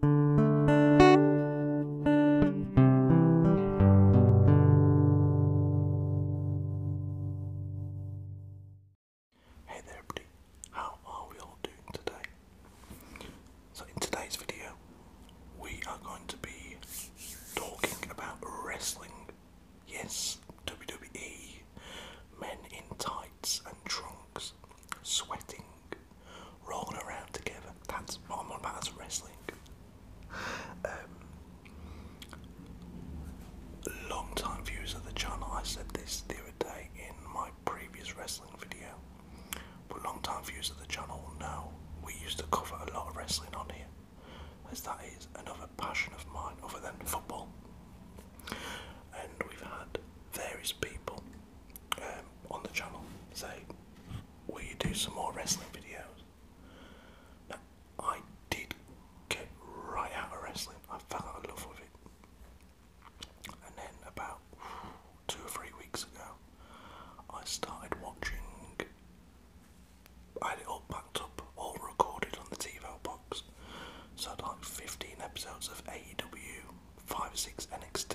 Hey there everybody, how are we all doing today? So in today's video we are going to be talking about wrestling. Yes, WWE, men in tights and trunks sweating, rolling around together. That's what I'm on about, that's wrestling. Um, long time viewers of the channel, I said this the other day in my previous wrestling video, but long time viewers of the channel will know we used to cover a lot of wrestling on here, as that is another passion of mine other than football. And we've had various people um, on the channel say, Will you do some more wrestling videos? I did get right out of wrestling, I fell out of love with it. And then, about two or three weeks ago, I started watching. I had it all packed up, all recorded on the TV box. So I had like 15 episodes of AEW, 5 6 NXT,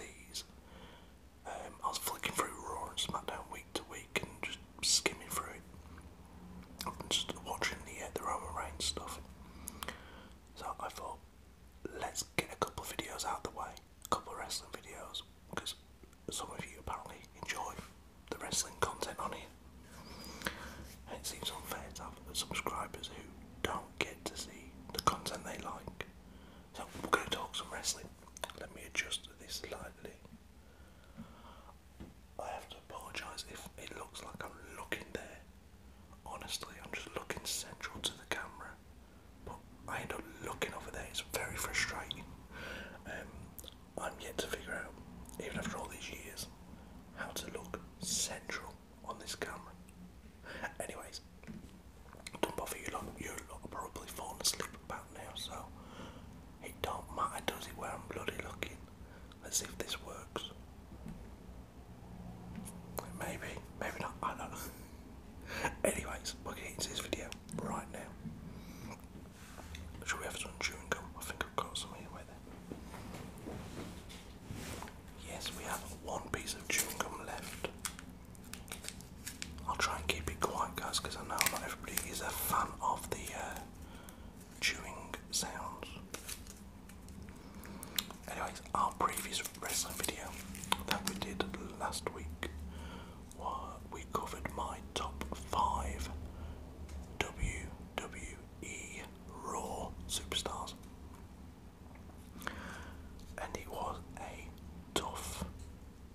um, I was flicking through Raw and SmackDown week to week and just skimming through it, and just watching the uh, the Roman Reigns stuff. So I thought, let's get a couple videos out the way, a couple wrestling videos, because some of you apparently enjoy the wrestling content on here. And it seems unfair to have subscribers who don't get to see the content they like. So we're going to talk some wrestling. Let me adjust this slightly. I have to apologise if it looks like I'm looking there. Honestly, I'm just looking central to the camera. But I end up looking over there. It's very frustrating. Um, I'm yet to figure out, even after all these years, how to look central on this camera. Anyways, don't bother you lot. You lot are probably falling asleep about now, so it don't matter, does it, where I'm bloody looking? Let's see if this works. Maybe, maybe not. I don't know. Anyways, we're getting into this video right now. Should we have some chewing gum? I think I've got some anyway there. Yes, we have one piece of chewing gum left. I'll try and keep it quiet, guys, because I know not everybody is a fan of the uh, chewing sounds. Anyways, our previous wrestling video that we did last week, was we covered my top five WWE Raw superstars. And it was a tough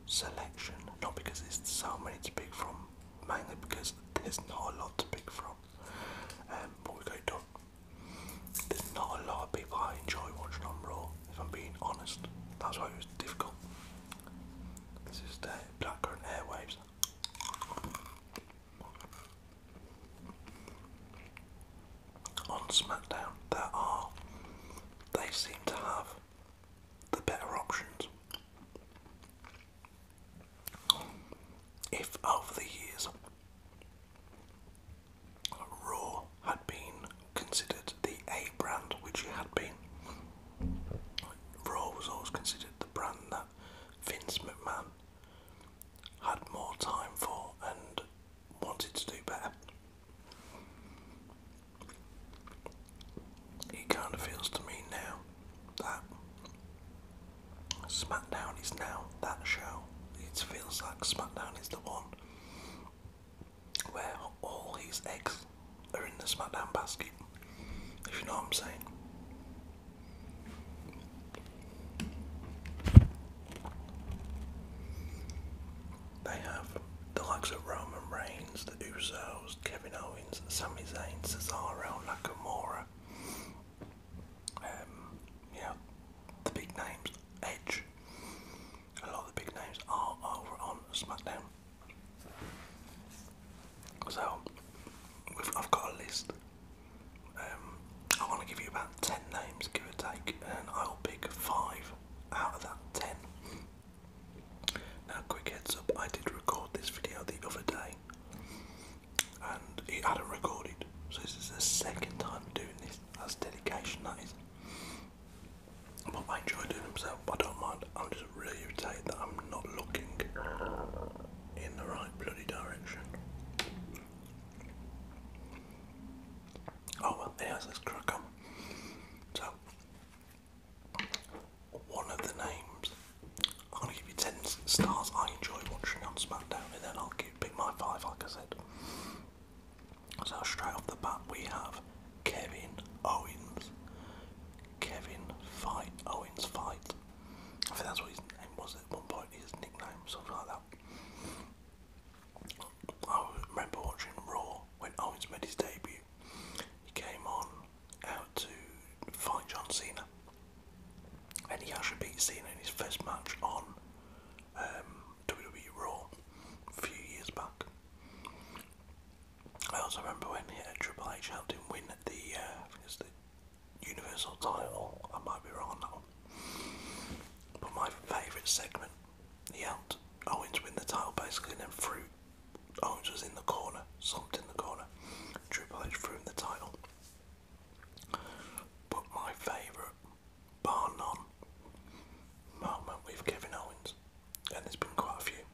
selection, not because there's so many to pick from, mainly because there's not a lot to pick from. Um, but we go done. There's not a lot of people I enjoy watching on Raw, if I'm being honest. That's why it was difficult. This is the Blackcurrant Airwaves on SmackDown there are they seem to have the better options. If over the years Raw had been considered the A brand, which it had been, Raw was always considered the brand that Vince McMahon had more time for and wanted to do better. It kind of feels to me now that SmackDown is now that show. It feels like SmackDown is the one where all his eggs are in the SmackDown basket, if you know what I'm saying. They have the likes of Roman Reigns, the Usos, Kevin Owens, Sami Zayn, Cesaro, Nakamura. Um, yeah, the big names, Edge. A lot of big names are over on SmackDown. So, I've got a list um, I want to give you about 10 names, give or take, and I'll pick 5 out of that 10. Now, quick heads up, I did record this video the other day and it hadn't recorded, so this is the second time doing this. That's dedication, that is. But I enjoy doing them, so I don't mind. I'm just really irritated that I'm not looking in the right bloody direction. Oh well, there's this us So, one of the names, I'm gonna give you 10 stars I enjoyed watching on SmackDown, and then I'll give, pick my 5 like I said. So, straight off the bat, we have Kevin Owens. Kevin Fight Owens Fight. I think that's what his name was at one point, his nickname, something like that. I oh, remember watching Raw when Owens made his debut. He came on out to fight John Cena, and he actually beat Cena in his first match on um, WWE Raw a few years back. I also remember when Triple H helped him win the, uh, the Universal title. I might be wrong on that one. But my favourite segment he Owens win the title basically, and then Fruit Owens was in the corner, slumped in the corner. Triple H threw in the title. But my favourite, bar none, moment with Kevin Owens, and there's been quite a few.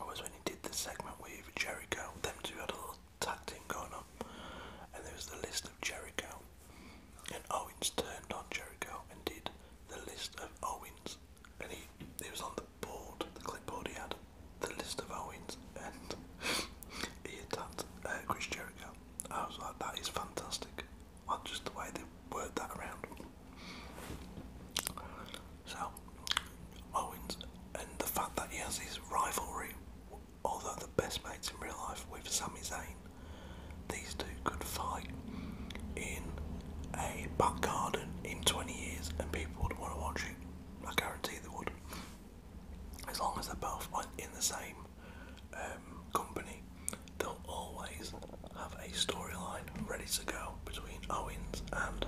I when he did the segment with Jericho. Them two had a little tag going on, and there was the list of Jericho and Owens turned on Jericho and did the list of Owens. And he, he was on the board, the clipboard he had, the list of Owens. And he attacked uh, Chris Jericho. I was like, that is fantastic. Like, just the way they word that around. So, Owens, and the fact that he has his rivalry, although the best mates in real life, with Sami Zayn, these two could fight in a back garden in 20 years and people would want to watch it. I guarantee they would. As long as they're both in the same um, company, they'll always have a storyline ready to go between Owens and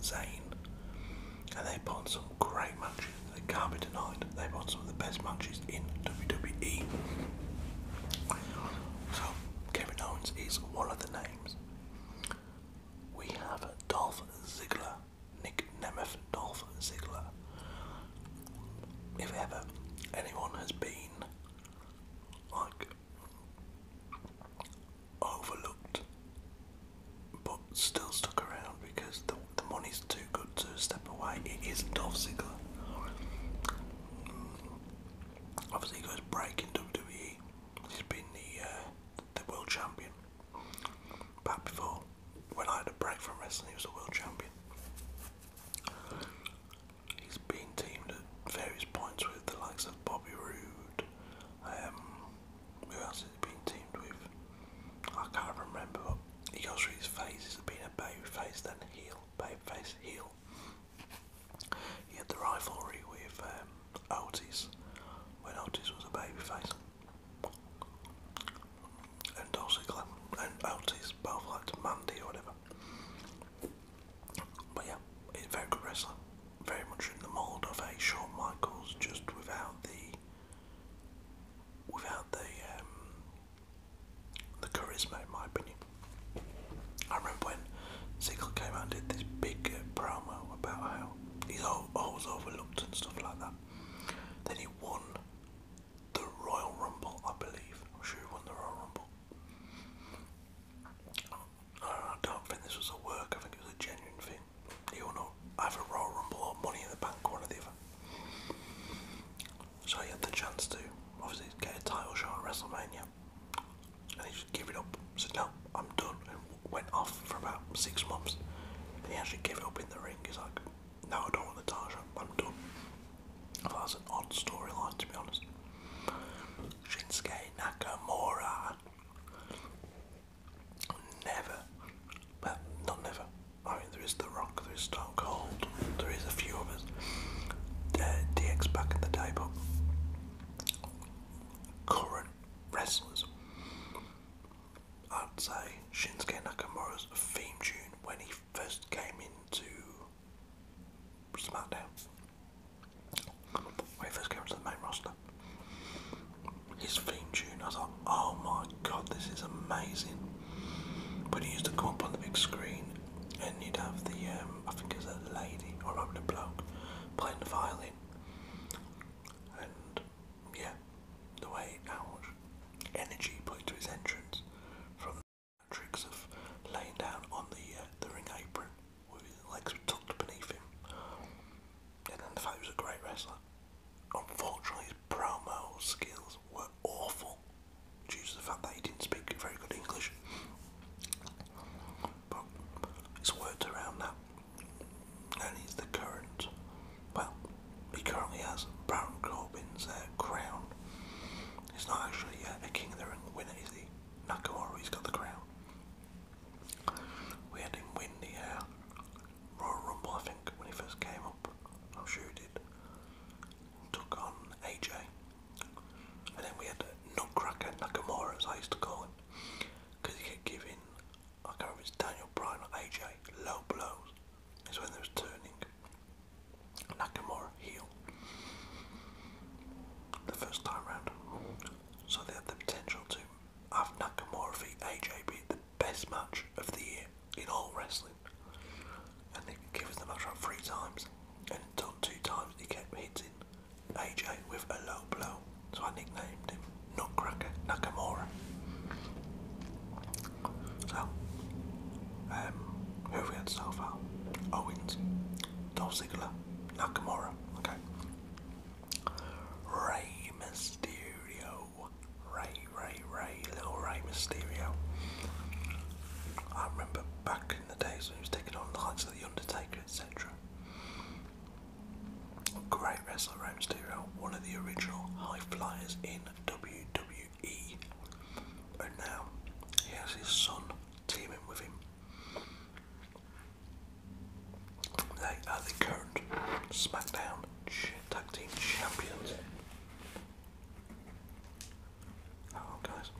Zayn. And they have won some great matches. They can't be denied. They have won some of the best matches matches in WWE. So Kevin Owens is one of the names. We have Dolph Ziggler, Nick Nemeth, Dolph Ziggler. If ever anyone has been like overlooked but still stuck around because the, the money is too good to step away. It is Dolph Ziggler. Obviously, he goes breaking WWE. He's been the uh, the world champion. Back before, when I had a break from wrestling, he was a world champion. He's been teamed at various points with the likes of Bobby Roode. Um, who else has he been teamed with? I can't remember. But he goes through his phases of being a baby face, then heel, heel, babyface heel. He had the rivalry with um, when Otis was a babyface. And Dolce Glam and Otis both liked Mandy or whatever. But yeah, very good wrestler. Very much in the mould of a Shawn Michaels, just without the without the um, the charisma, in my opinion. I remember when Ziggler came out and did this big uh, promo about how he's always overlooked and stuff like that. Then he won the Royal Rumble, I believe. I'm sure he won the Royal Rumble. I don't think this was a work, I think it was a genuine thing. You I have a Royal Rumble or Money in the Bank, one or the other. So he had the chance to obviously get a title shot at WrestleMania. And he just gave it up. Said, no, I'm done. And went off for about six months. he actually gave it up in the ring. He's like, no, I don't want the title shot. I'm done. I thought that's an odd storyline, to be honest. Shinsuke Nakamura. Never. Well, not never. I mean, there is The Rock, there is Stone Cold, there is a few others. Uh, DX back in the day, but current wrestlers. I'd say Shinsuke Nakamura's theme tune when he first came into SmackDown. When he first came into the main roster. His theme tune, I was like, oh my god, this is amazing. But he used to come up on the big screen, and you'd have the, um, I think it was a lady, or I rather a bloke, playing the violin. And yeah, the way out energy he put into his entrance from the tricks of laying down on the, uh, the ring apron with his legs tucked beneath him. And then the fact he was a great wrestler. Unfortunately, his promo skills were awful due to the fact that he didn't speak very good English. But it's worked around now. And he's the current, well, he currently has Baron Corbin's uh, crown. He's not actually uh, a King of the Ring winner, is he? Nakamura, he's got the crown. We had him win the uh, Royal Rumble, I think, when he first came up. I'm sure he did took on AJ. And then we had Nutcracker Nakamura, as I used to call him, because he kept giving, I can't remember if it's Daniel Bryan or AJ, low blows. It's when they was turning Nakamura heel the first time round. So they had the potential to have Nakamura v AJ be the best match of the year in all wrestling. And he gives the match up three times. And until two times he kept hitting AJ with a low blow. So I nicknamed him Nutcracker Nakamura. So, um, who have we had so far? Owens, Dolph Ziggler, Nakamura, okay. Rey Mysterio, Ray, Ray, Ray, Little Rey Mysterio. I remember back in the days when he was taking on the likes of The Undertaker, etc. Great wrestler, Rey Mysterio, one of the original high flyers in WWE. And now he has his son teaming with him. They are the current SmackDown Tag Team Champions. Oh, guys.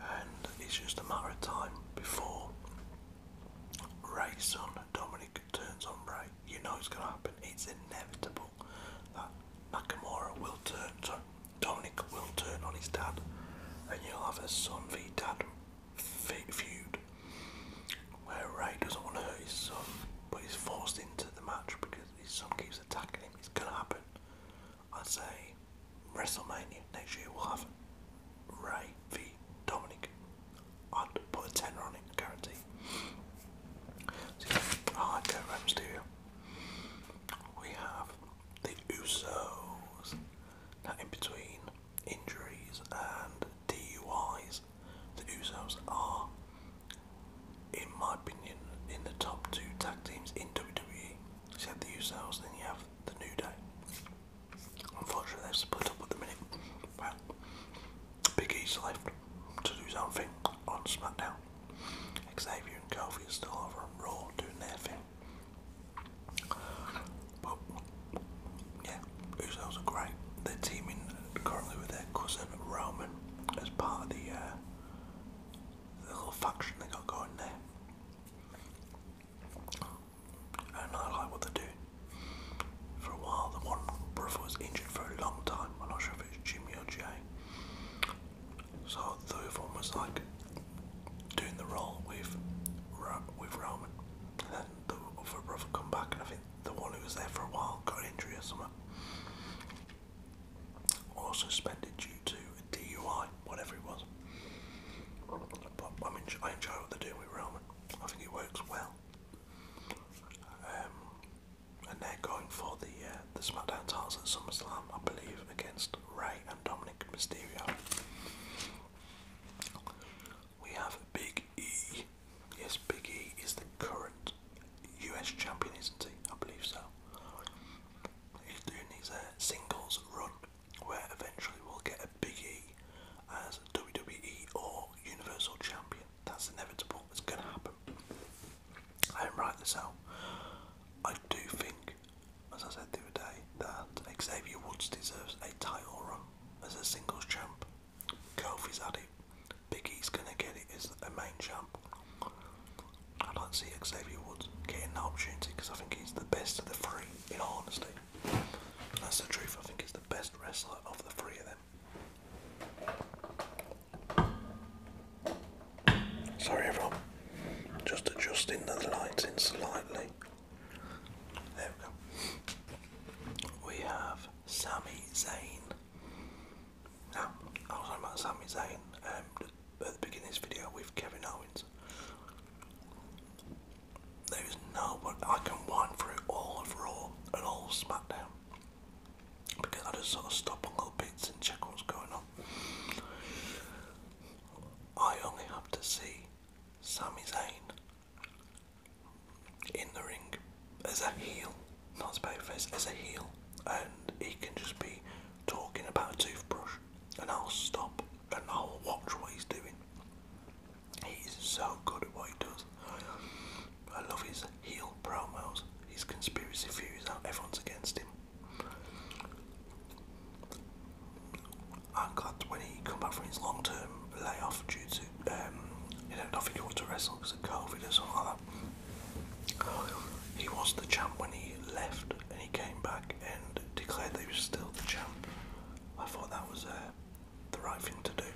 And it's just a matter of time before Ray's son Dominic turns on Ray. You know it's going to happen. It's inevitable that Nakamura will turn, Dominic will turn on his dad, and you'll have a son v dad feud where Ray doesn't want to hurt his son, but he's forced into the match because his son keeps attacking him. It's gonna happen. I'd say WrestleMania next year will have Ray v Dominic. I'd put a tenner on it, guarantee. So yeah, I like Rey Mysterio. We have the Usos. in between injuries and DUIs, the Usos are, in my opinion, in the top two tag teams in WWE. So you have the Usos, then you have the New Day. Unfortunately, they've split up at the minute. Well, Big E's left to do his on SmackDown. Xavier and Kofi are still over Raw do nothing. But yeah, Usos are great. They're teaming currently with their cousin Roman as part of the, uh, little faction they got going there. And I like what they do. For a while, the one brother was injured for a long time. I'm not sure if it's Jimmy or Jay. So the other one was like doing the role with with Roman, and then the other brother come back, and I think the one who was there for a while got injured or something, or suspended due to DUI, whatever it was. But I mean, I enjoy what they're doing with Roman. I think it works well. Um, and they're going for the uh, the SmackDown titles at SummerSlam, I believe, against Ray and Dominic Mysterio. We have Big E. Yes, Big E is the current US champion, isn't he? I believe so. He's doing his uh, singles run where eventually we'll get a Big E as WWE or Universal Champion. That's inevitable, it's going to happen. I didn't write this out. I do think, as I said the other day, that Xavier Woods deserves a title run as a singles champ. Kofi's at it. Biggie's gonna get it as a main champ. i don't see Xavier Woods getting the opportunity because I think he's the best of the three, in all honesty. That's the truth, I think he's the best wrestler of the three of them. Sorry everyone, just adjusting the lighting slightly. There we go. We have Sami Zayn. Now, ah, I was talking about Sami Zayn um, at the beginning of this video with Kevin Owens. There is no one I can wind through all of Raw and all SmackDown because I just sort of stop on little bits and check what's going on. I only have to see Sami Zayn in the ring as a heel, not as babyface, as a heel, and he can just be talking about a toothbrush, and I'll stop and I'll watch what he's doing. He's so good at what he does. I love his heel promos, his conspiracy theories out, everyone's against him. I'm glad when he come back from his long term layoff due to um, you know, to wrestle because of COVID or something He was the champ when he left, and he came back and declared that he was still the champ. I thought that was uh, the right thing to do.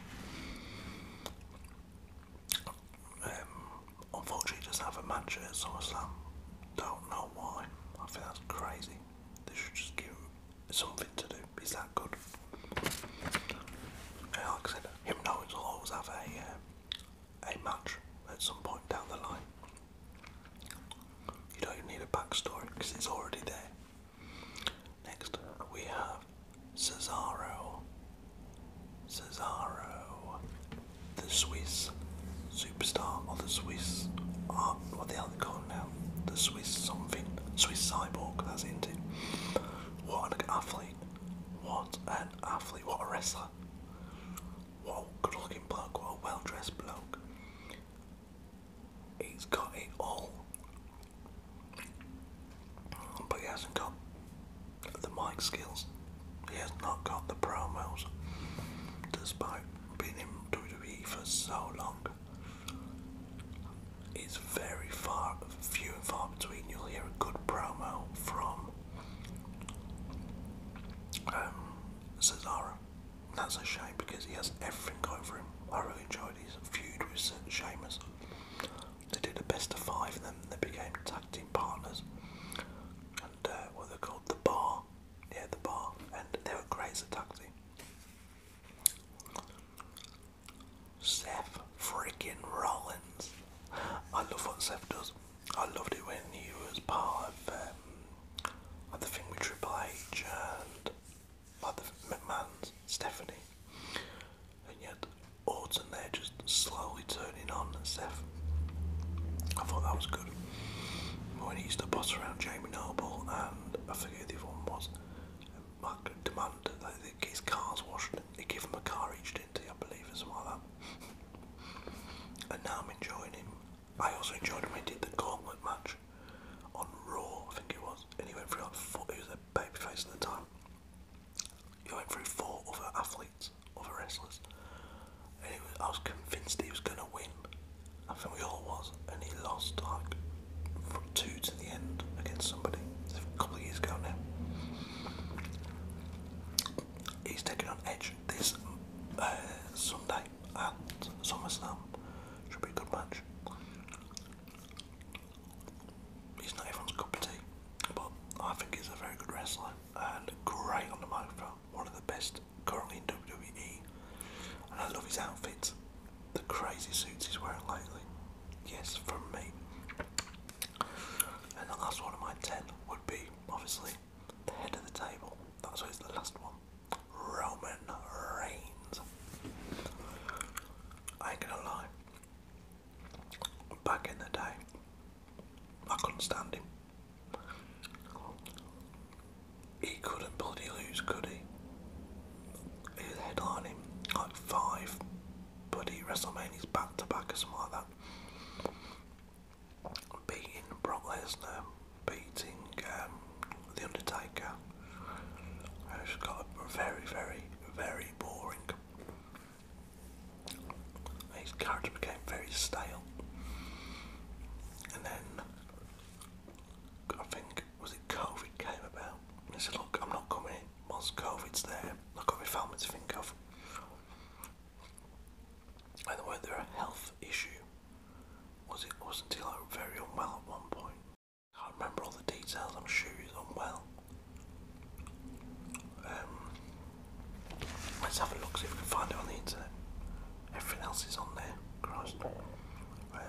Um, Unfortunately, he doesn't have a match at SummerSlam. Don't know why. I think that's crazy. They should just give him something to do. Is that good. Yeah, like I said, him knowing he'll always have a, uh, a match at some point down the line. You don't need a backstory because it's already there. Next, we have Cesaro. Cesaro the Swiss superstar or the Swiss what the hell they call now? The Swiss something, Swiss cyborg, that's it. What an athlete, what an athlete, what a wrestler, what a good looking bloke, what a well dressed bloke. He's got it all, but he hasn't got the mic skills he has not got the promos, despite being in WWE for so long. It's very far, few and far between. You'll hear a good promo from um, Cesaro. That's a shame because he has everything going for him. I really enjoyed his feud with Sheamus. They did a best of five, and then they became tag team partners. And uh, what they called the Bar near the bar, and they were crazy. as a taxi. Seth freaking Rollins. I love what Seth does. I loved it when he was part of, um, the thing with Triple H and like the McMahon's, Stephanie. And yet Orton there just slowly turning on Seth I thought that was good. When he used to boss around Jamie Noble and I forget who the other one was, Mark demand that they his cars washed. They give him a car each day, I believe, or something like And now I'm enjoying him. I also enjoyed when he did the gauntlet match on Raw, I think it was, Anyway, through like four, he was a babyface at the time. He went through four other athletes other wrestlers. I was convinced he was going to win. I think we all was. And he lost like from two to the end against somebody a couple of years ago now. He's taking on Edge this uh, Sunday at SummerSlam. Should be a good match. He's not everyone's cup of tea, but I think he's a very good wrestler and great on the microphone one of the best currently in WWE. And I love his outfits, the crazy suits he's wearing lately. Yes, from me. And the last one of my ten would be, obviously, the head of the table. That's why it's the last one. Roman Reigns. ain't gonna lie. Back in the day, I couldn't stand him. He couldn't bloody lose, could he? He was headlining like five bloody WrestleManias back to back or something like that. Beating Brock Lesnar, beating um, The Undertaker. It's got a very, very, very boring his character became very stale. And then I think was it COVID came about and said, Look, I'm not coming Once COVID's there, I've got my family to think of. By the way, there a health issue. Was it wasn't he like very unwell at one point? can't remember all the details, I'm sure he's unwell. Um, Let's have a look, see if we can find it on the internet. Everything else is on there, Christ. Um,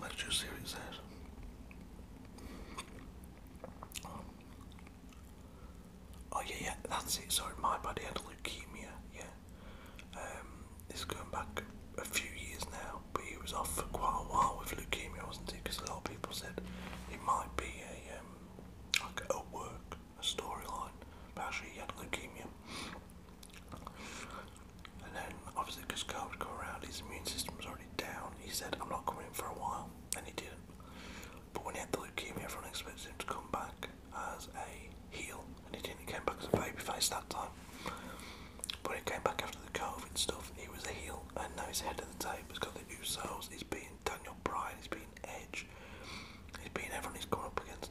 Let's see what it Oh yeah, yeah, that's it. Sorry, my body had leukemia. Yeah, um, going back a few years now, but he was off for quite a while with leukemia, wasn't he? Because a lot of people said it might be a um, like a work, a storyline, but actually he had leukemia. And then obviously because COVID come around, his immune system was already down. He said, "I'm not coming in for a while," and he did But when he had the leukemia, everyone expected him to come back, as a heel, and he didn't came back as a babyface that time. But he came back after the COVID stuff, he was a heel, and now he's head of the table. He's got the new He's been Daniel Bryan, He's been Edge, He's been everyone he's gone up against.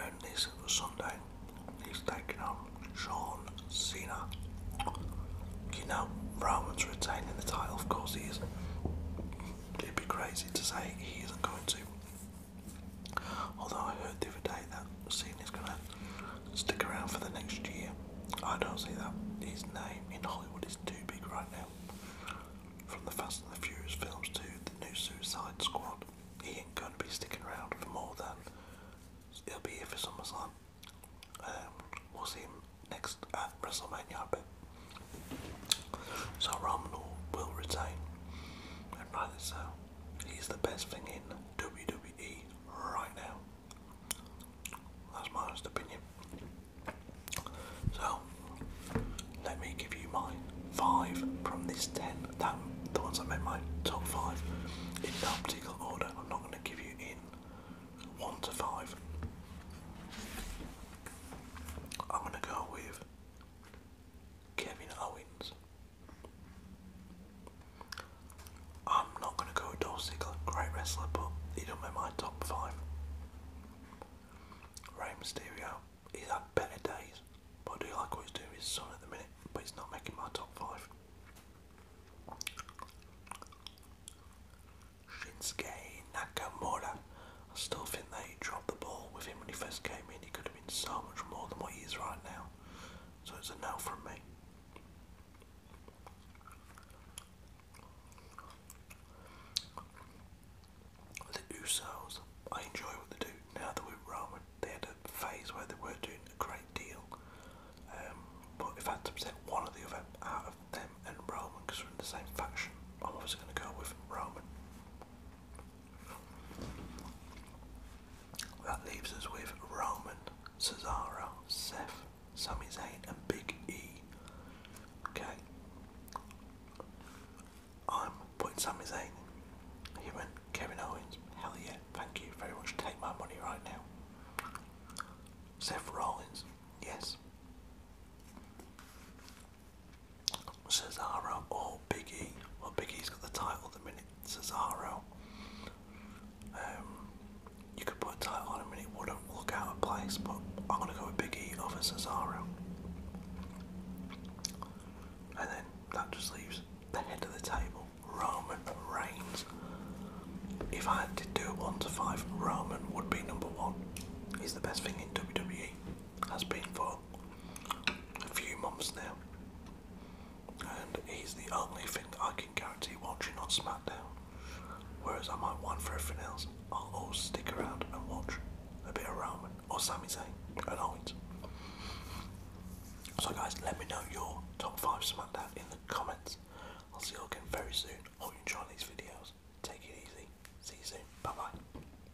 And this Sunday, he's taking on Sean Cena. You know, Roman's retaining the title, of course he is. It'd be crazy to say he isn't going to. Although I heard the other day that scene is going to stick around for the next year. I don't see that. His name in Hollywood is too big right now. From the Fast and the Furious films to the new Suicide Squad, he ain't going to be sticking around for more than. He'll be here for SummerSlam. time. Um, we'll see him next at WrestleMania, I bet. So Romano will retain, and rightly so. He's the best thing in WWE right now. That's my honest opinion. So, let me give you my five from this ten. That the ones I made my top five in no particular order. I'm not going to give you in one to five. I'm going to go with Kevin Owens. I'm not going to go with Dolph Ziggler, great wrestler, but he do not make my top five. Rey Mysterio, he's had better days, but I do like what he's doing with his son at the minute, but he's not making my top five. Shinsuke Nakamura, I still think they dropped the ball with him when he first came in. He could have been so much more than what he is right now. So it's a no from me. The Usos, I enjoy what they do now that we're Roman. They had a phase where they were doing a great deal. Um, but if had to pick one or the other out of them and Roman, we're in the same faction, I'm obviously going to go with Roman. That leaves us with Roman, Cesaro, Seth, Sami Zayn, and Big E. Okay. I'm putting Sami Zayn. He Kevin Owens. Hell yeah, thank you very much. Take my money right now. Seth Rollins, yes. Cesaro or Big E. Well, biggie has got the title the minute. Cesaro. Um, you could put a title on him and it wouldn't look out of place, but I'm going to go with Big E over Cesaro. And then that just leaves the head of the table, Roman Reigns. If I had to do 1 to 5, Roman would be number 1. He's the best thing in WWE has been for a few months now. And he's the only thing that I can guarantee watching on SmackDown. Whereas I might want for everything else, I'll always stick around and watch a bit of Roman or Sami Zayn and Owens. So guys, let me know your top 5 SmackDown in the comments. I'll see you again very soon. Hope you enjoy these videos. Take it easy. See you soon. Bye bye.